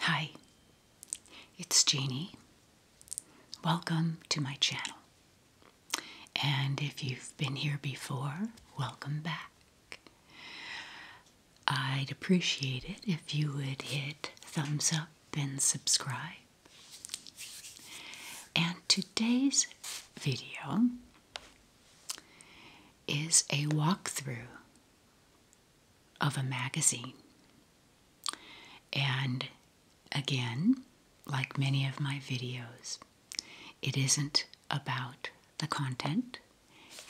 Hi, it's Jeannie. Welcome to my channel. And if you've been here before, welcome back. I'd appreciate it if you would hit thumbs up and subscribe. And today's video is a walkthrough of a magazine. And again, like many of my videos, it isn't about the content,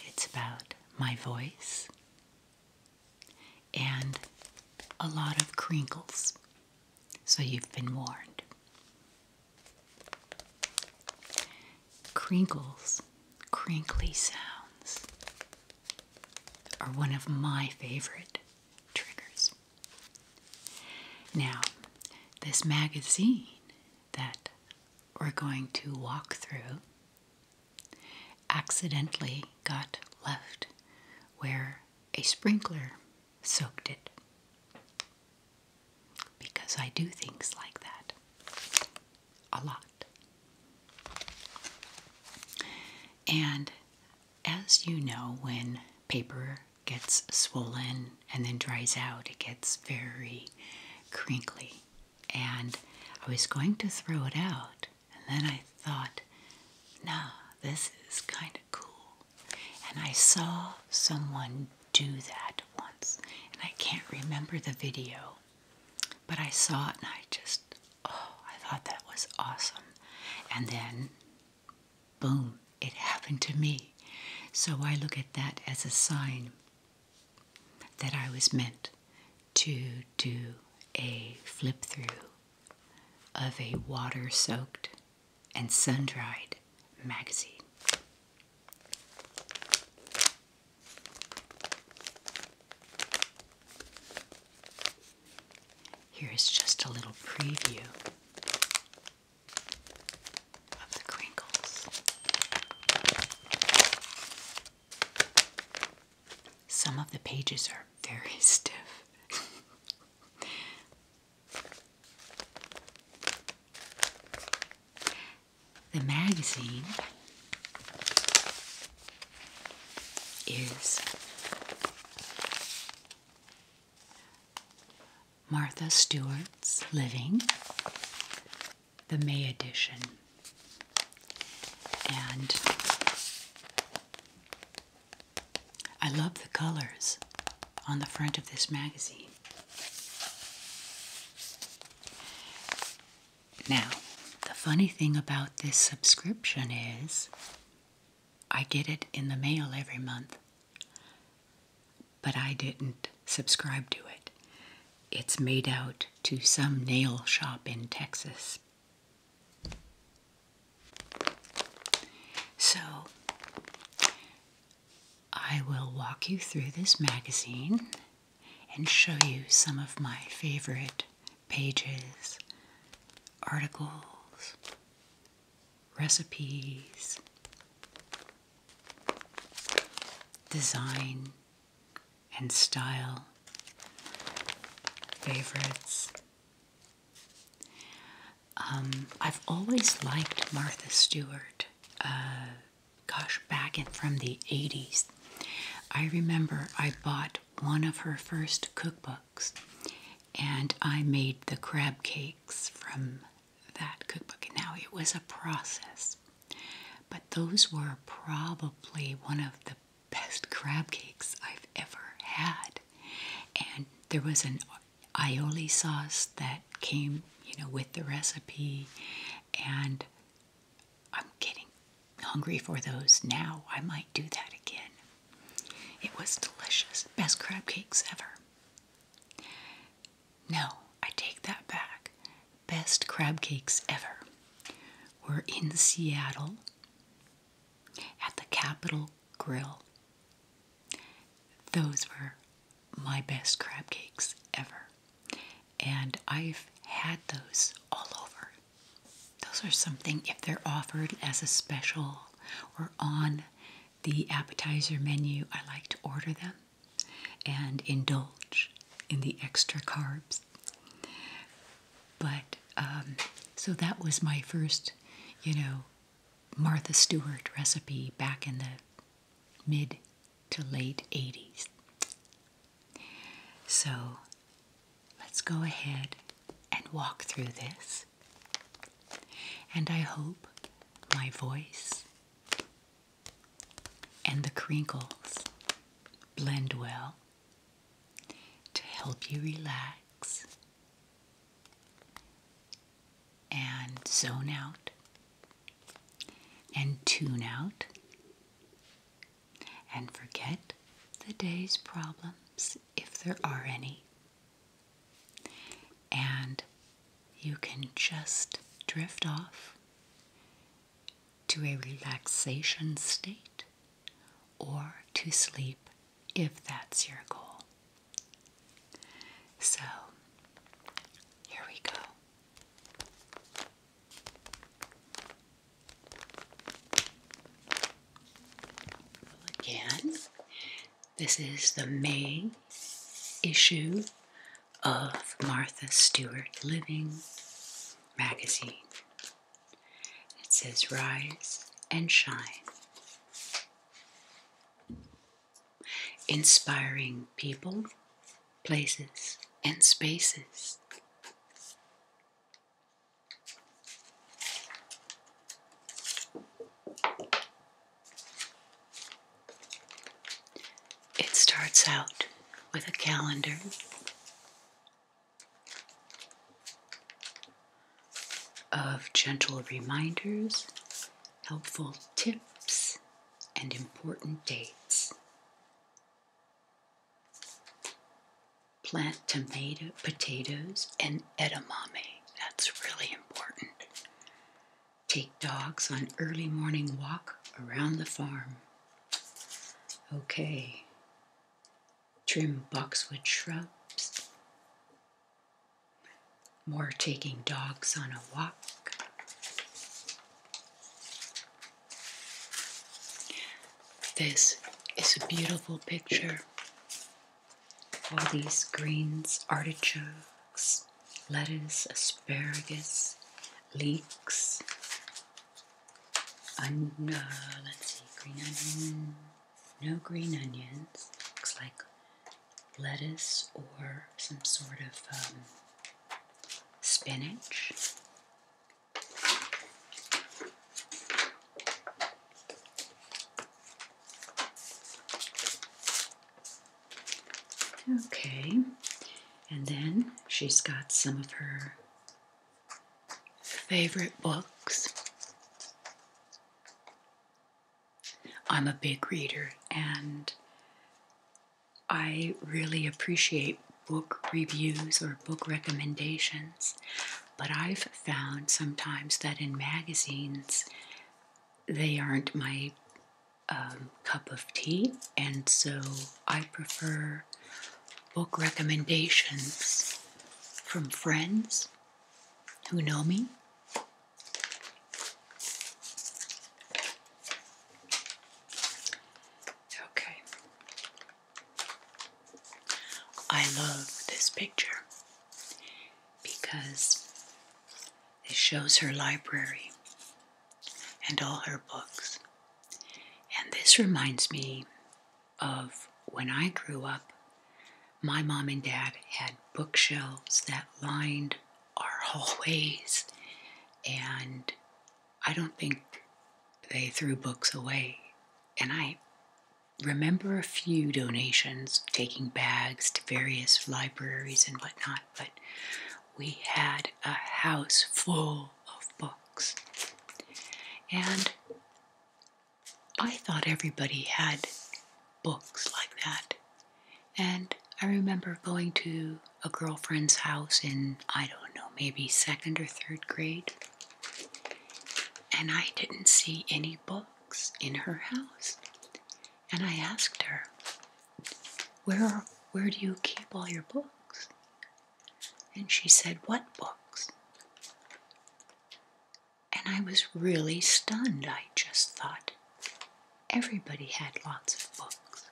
it's about my voice and a lot of crinkles. So you've been warned. Crinkles, crinkly sounds are one of my favorite triggers. Now, this magazine that we're going to walk through accidentally got left where a sprinkler soaked it. Because I do things like that a lot. And as you know, when paper gets swollen and then dries out, it gets very crinkly and I was going to throw it out, and then I thought, nah, this is kind of cool. And I saw someone do that once, and I can't remember the video, but I saw it and I just, oh, I thought that was awesome. And then, boom, it happened to me. So I look at that as a sign that I was meant to do a flip through of a water soaked and sun dried magazine. Here is just a little preview of the crinkles. Some of the pages are very stiff. the magazine is Martha Stewart's Living the May edition. And I love the colors on the front of this magazine. Now, the funny thing about this subscription is I get it in the mail every month, but I didn't subscribe to it it's made out to some nail shop in Texas. So, I will walk you through this magazine and show you some of my favorite pages, articles, recipes, design, and style. Favorites. Um, I've always liked Martha Stewart. Uh, gosh, back in from the 80s. I remember I bought one of her first cookbooks and I made the crab cakes from that cookbook. Now it was a process. But those were probably one of the best crab cakes I've ever had. And there was an aioli sauce that came, you know, with the recipe. And I'm getting hungry for those now. I might do that again. It was delicious. Best crab cakes ever. No, I take that back. Best crab cakes ever. We're in Seattle at the Capitol Grill. Those were my best crab cakes ever. And I've had those all over. Those are something, if they're offered as a special or on the appetizer menu, I like to order them and indulge in the extra carbs. But um, so that was my first, you know, Martha Stewart recipe back in the mid to late 80s. So let's go ahead and walk through this. And I hope my voice and the crinkles blend well to help you relax and zone out and tune out and forget the day's problems if there are any. And you can just drift off to a relaxation state or to sleep if that's your goal. So, here we go. again, this is the May issue of Martha Stewart Living magazine. It says, Rise and Shine. Inspiring people, places, and spaces. It starts out with a calendar. Of gentle reminders, helpful tips, and important dates. Plant tomato, potatoes and edamame. That's really important. Take dogs on early morning walk around the farm. Okay. Trim boxwood shrubs. More taking dogs on a walk. This is a beautiful picture. All these greens, artichokes, lettuce, asparagus, leeks, let's see, green onion, no green onions. Looks like lettuce or some sort of um, spinach. Okay, and then she's got some of her favorite books. I'm a big reader and I really appreciate book reviews or book recommendations, but I've found sometimes that in magazines they aren't my um, cup of tea, and so I prefer book recommendations from friends who know me. Okay. I love this picture because it shows her library and all her books. And this reminds me of when I grew up, my mom and dad had bookshelves that lined our hallways, and I don't think they threw books away. And I remember a few donations, taking bags to various libraries and whatnot, but we had a house full of books. And I thought everybody had books like that. And I remember going to a girlfriend's house in, I don't know, maybe second or third grade. And I didn't see any books in her house. And I asked her, where, where do you keep all your books? And she said, What books? And I was really stunned. I just thought everybody had lots of books.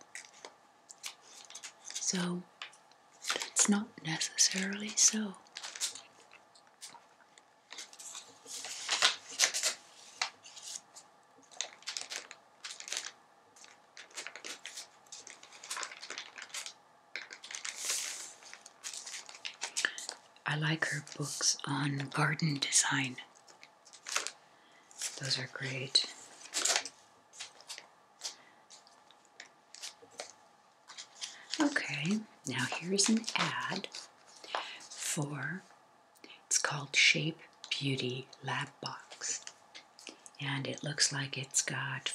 So that's not necessarily so. I like her books on garden design. Those are great. Okay, now here's an ad for it's called Shape Beauty Lab Box and it looks like it's got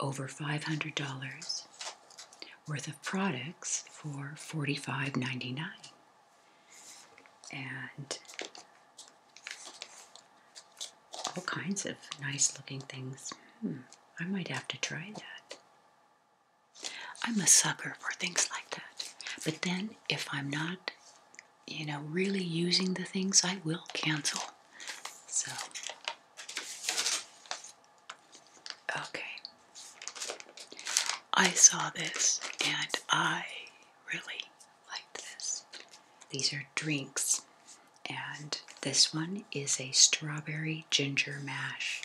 over $500 worth of products for $45.99. And all kinds of nice looking things. Hmm, I might have to try that. I'm a sucker for things like that. But then if I'm not you know, really using the things, I will cancel. So, okay. I saw this and I really liked this. These are drinks, and this one is a strawberry ginger mash,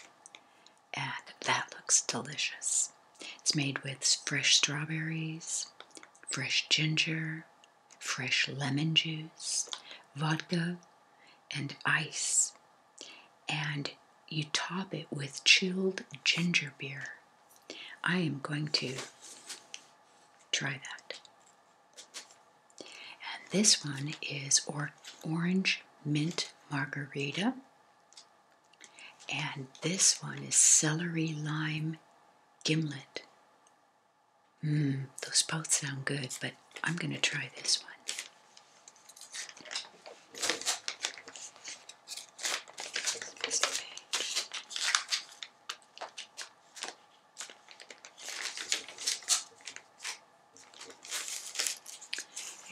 and that looks delicious. It's made with fresh strawberries, fresh ginger, fresh lemon juice, vodka, and ice. And you top it with chilled ginger beer. I am going to try that. this one is or orange mint margarita. And this one is celery lime gimlet. Mmm, those both sound good, but I'm going to try this one.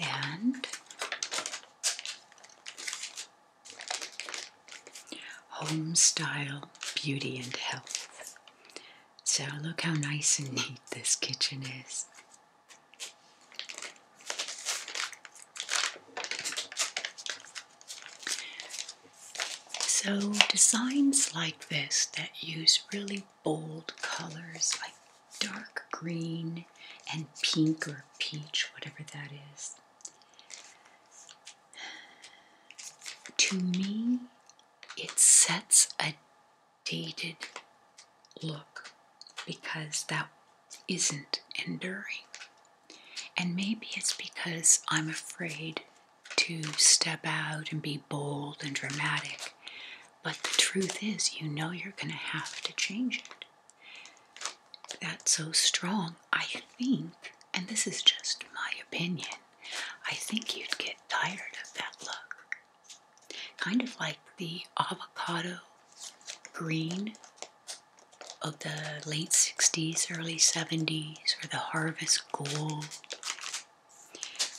And Home Style Beauty and Health. So, look how nice and neat this kitchen is. So, designs like this that use really bold colors like dark green and pink or peach, whatever that is, to me, it sets a dated look because that isn't enduring. And maybe it's because I'm afraid to step out and be bold and dramatic. But the truth is, you know you're going to have to change it that's so strong, I think, and this is just my opinion, I think you'd get tired of that look. Kind of like the avocado green of the late 60s, early 70s, or the harvest gold.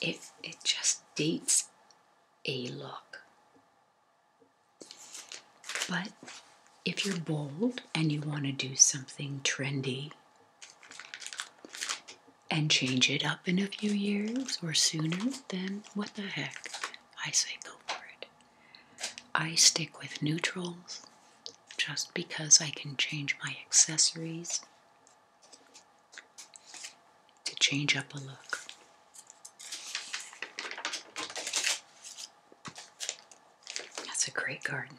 It, it just dates a look. But if you're bold and you want to do something trendy and change it up in a few years or sooner, then what the heck? I say go for it. I stick with neutrals just because I can change my accessories to change up a look. That's a great garden.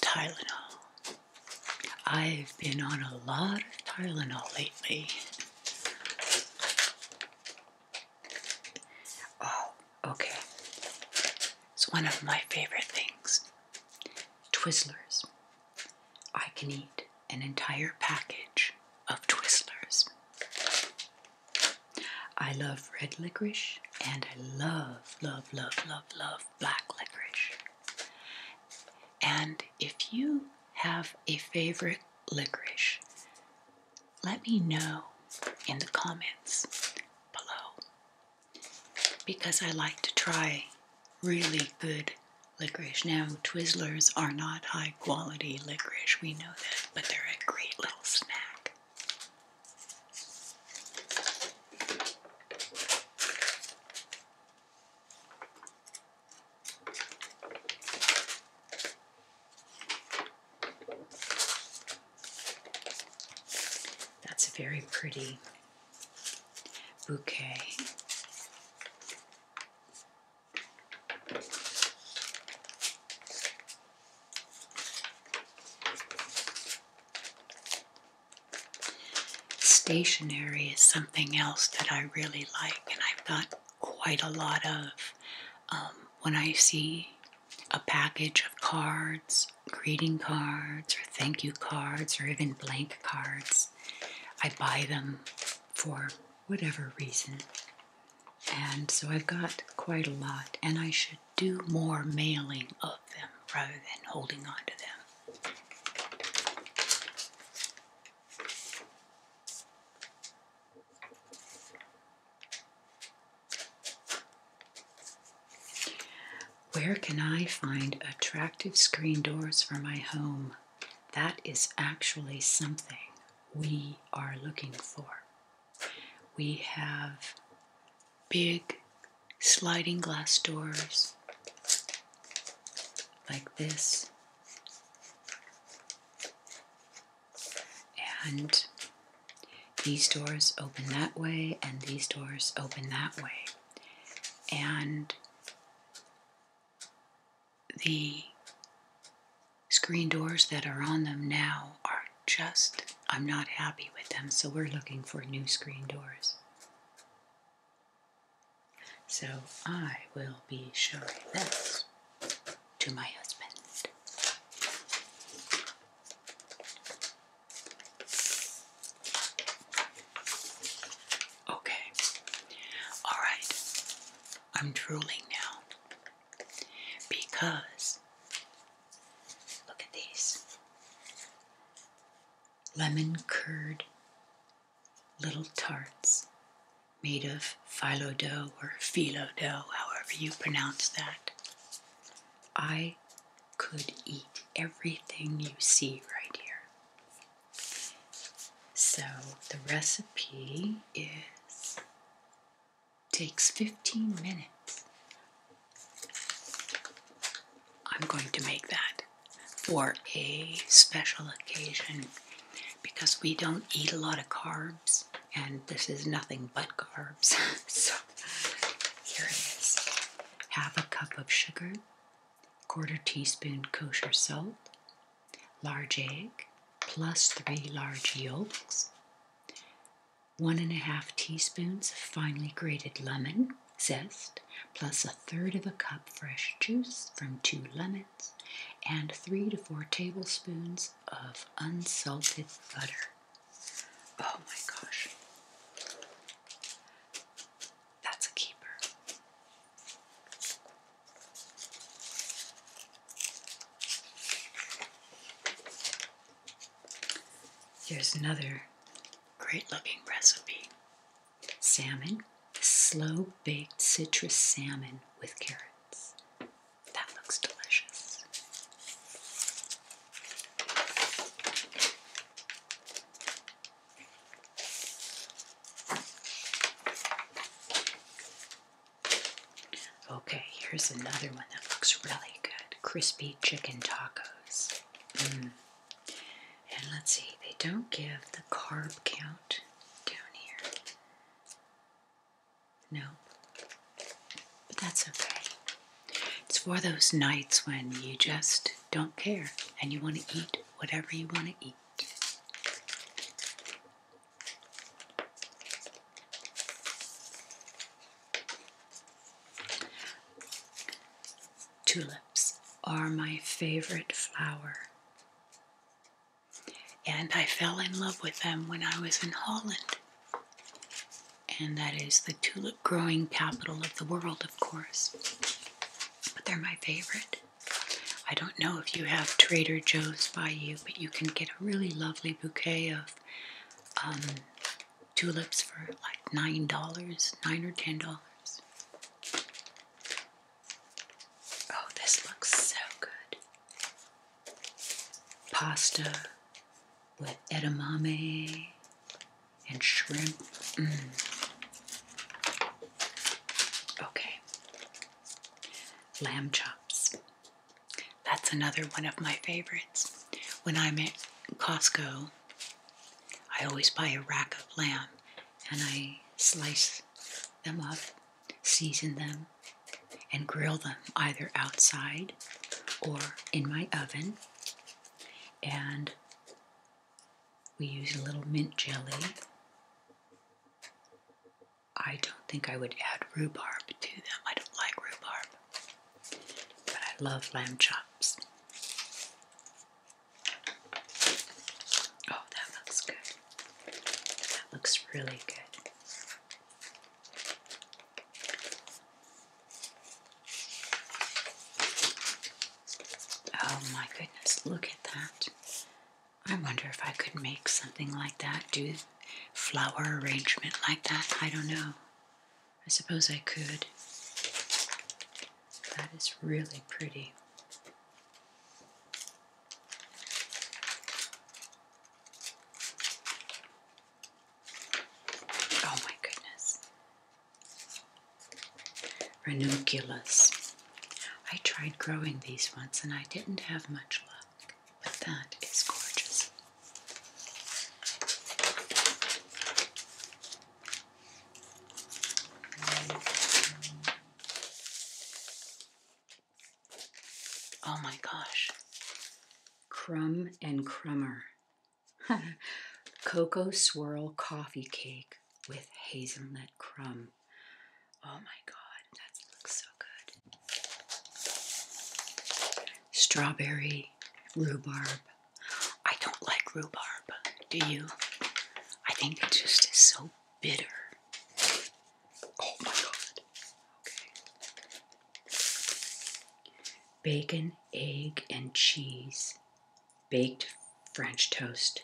Tylenol. I've been on a lot of Tylenol lately. Oh, okay. It's one of my favorite things Twizzlers. I can eat an entire package of Twizzlers. I love red licorice and I love, love, love, love, love black licorice. And if you have a favorite licorice, let me know in the comments below because I like to try really good licorice. Now, Twizzlers are not high quality licorice, we know that, but they're a great little snack. That's a very pretty bouquet. Stationery is something else that I really like, and I've got quite a lot of. Um, when I see a package of cards, greeting cards, or thank you cards, or even blank cards, I buy them for whatever reason. And so I've got quite a lot, and I should do more mailing of them rather than holding on to them. Where can I find attractive screen doors for my home? That is actually something we are looking for. We have big sliding glass doors like this. And these doors open that way, and these doors open that way. And the screen doors that are on them now are just, I'm not happy with them, so we're looking for new screen doors. So I will be showing this to my husband. Okay. All right. I'm drooling now because look at these lemon curd little tarts made of phyllo dough or filo dough, however you pronounce that. I could eat everything you see right here. So the recipe is takes 15 minutes. I'm going to make that for a special occasion because we don't eat a lot of carbs and this is nothing but carbs. so here it is. Half a cup of sugar, quarter teaspoon kosher salt, large egg, plus three large yolks, one and a half teaspoons of finely grated lemon zest, plus a third of a cup fresh juice from two lemons, and three to four tablespoons of unsalted butter. Oh my gosh. That's a keeper. Here's another Great looking recipe. Salmon, slow baked citrus salmon with carrots. That looks delicious. Okay, here's another one that looks really good crispy chicken tacos. Mm. And let's see, they don't give the carb count down here. No, but that's okay. It's for those nights when you just don't care and you want to eat whatever you want to eat tulips are my favorite flower. And I fell in love with them when I was in Holland. And that is the tulip growing capital of the world, of course. But they're my favorite. I don't know if you have Trader Joe's by you, but you can get a really lovely bouquet of um, tulips for like nine dollars, nine or ten dollars. Oh, this looks so good. Pasta with edamame and shrimp. Mm. Okay, lamb chops. That's another one of my favorites. When I'm at Costco, I always buy a rack of lamb and I slice them up, season them, and grill them either outside or in my oven. And we use a little mint jelly. I don't think I would add rhubarb to them. I don't like rhubarb. But I love lamb chops. Oh, that looks good. That looks really good. Oh my goodness, look at that. I wonder if I could make something like that, do flower arrangement like that. I don't know. I suppose I could. That is really pretty. Oh my goodness. Ranunculus. I tried growing these once and I didn't have much luck, but that is gorgeous. Oh my gosh. Crumb and Crummer. Cocoa Swirl Coffee Cake with Hazelnut Crumb. Oh my god, that looks so good. Strawberry, rhubarb, I don't like rhubarb. Do you? I think it just is so bitter. Oh my god. Bacon, egg, and cheese. Baked French toast.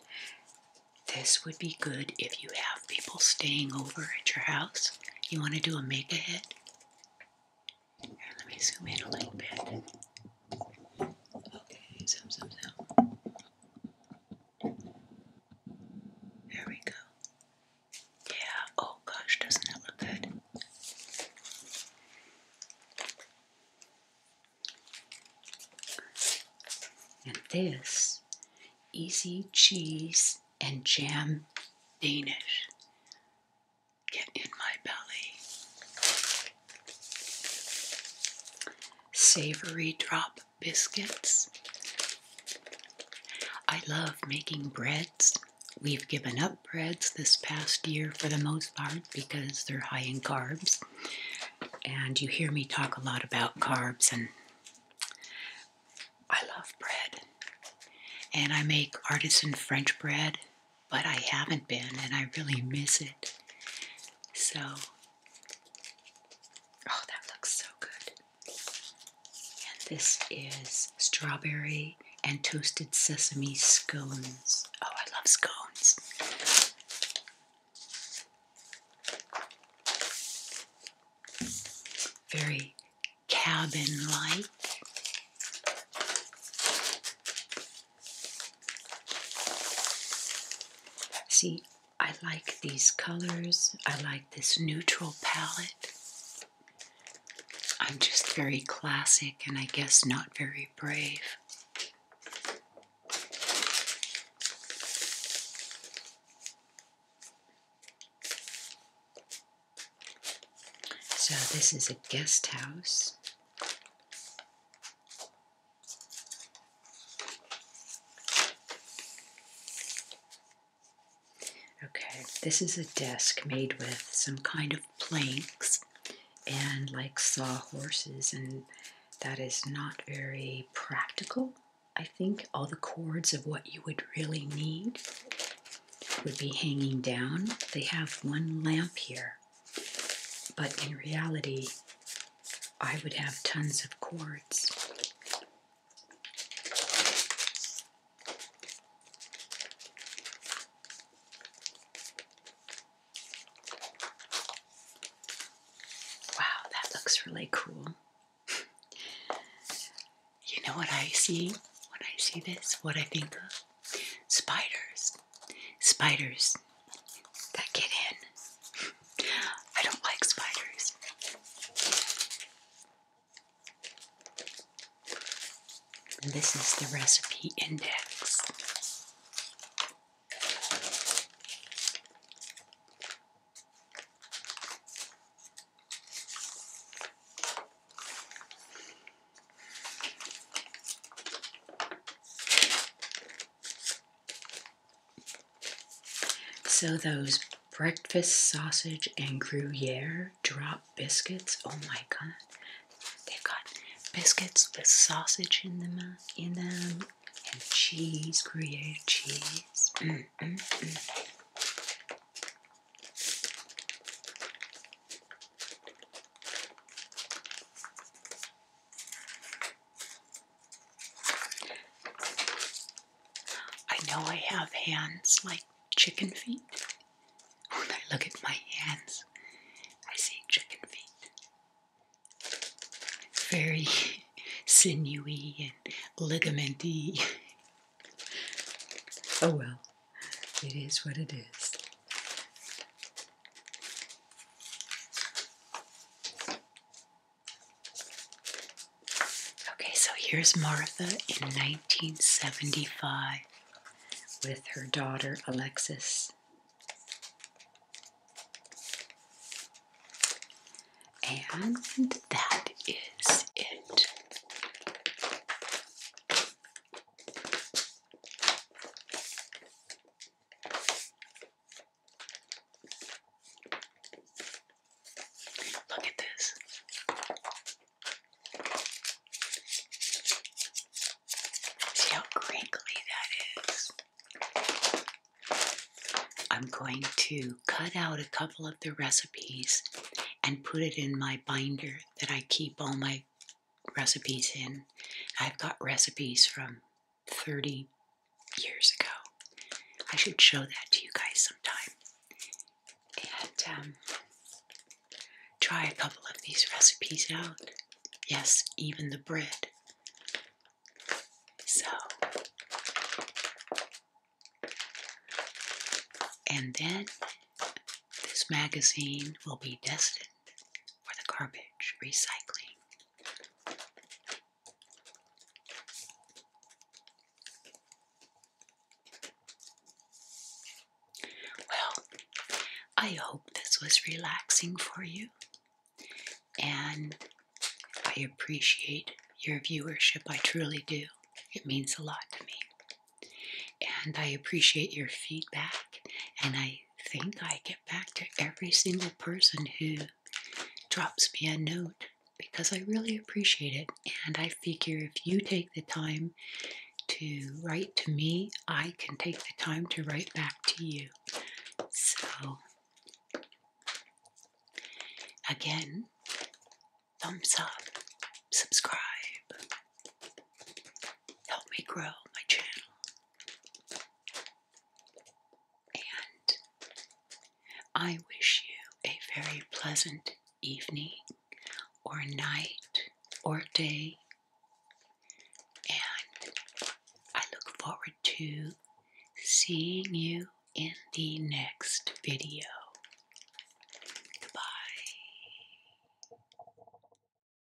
This would be good if you have people staying over at your house. You want to do a make ahead? let me zoom in a little bit. Okay, zoom, zoom, zoom. There we go. Yeah, oh gosh, doesn't that look good? And this easy cheese and jam Danish get in my belly. Savory drop biscuits. I love making breads. We've given up breads this past year for the most part because they're high in carbs. And you hear me talk a lot about carbs, and I love bread. And I make artisan French bread but I haven't been and I really miss it. So, oh, that looks so good. this is strawberry and toasted sesame scones. Oh, I love scones. Very cabin like. See, I like these colors. I like this neutral palette. I'm just very classic and I guess not very brave. So, this is a guest house. Okay, this is a desk made with some kind of planks and like sawhorses, and that is not very practical. I think all the cords of what you would really need would be hanging down. They have one lamp here, but in reality, I would have tons of cords. Wow, that looks really cool. you know what I see when I see this? What I think of? Spiders. Spiders that get in. I don't like spiders. this is the recipe index. So those breakfast sausage and Gruyere drop biscuits. Oh my god. They've got biscuits with sausage in them uh, in them and cheese, Gruyere cheese. Mm, mm, mm. I know I have hands like chicken feet. When I look at my hands, I see chicken feet. Very sinewy and ligamenty. Oh well, it is what it is. Okay, so here's Martha in 1975 with her daughter Alexis. And that is it. Look at this. See how crinkly that is. I'm going to cut out a couple of the recipes and put it in my binder that I keep all my recipes in. I've got recipes from 30 years ago. I should show that to you guys sometime. And um, try a couple of these recipes out. Yes, even the bread. So, and then this magazine will be destined for the garbage recycling. Well, I hope this was relaxing for you, and I appreciate your viewership. I truly do. It means a lot to me. And I appreciate your feedback, and I think I get back to every single person who drops me a note because I really appreciate it. And I figure if you take the time to write to me, I can take the time to write back to you. So, again, thumbs up, subscribe, help me grow my channel. And I wish you a very pleasant evening, or night, or day. And I look forward to seeing you in the next video. Goodbye.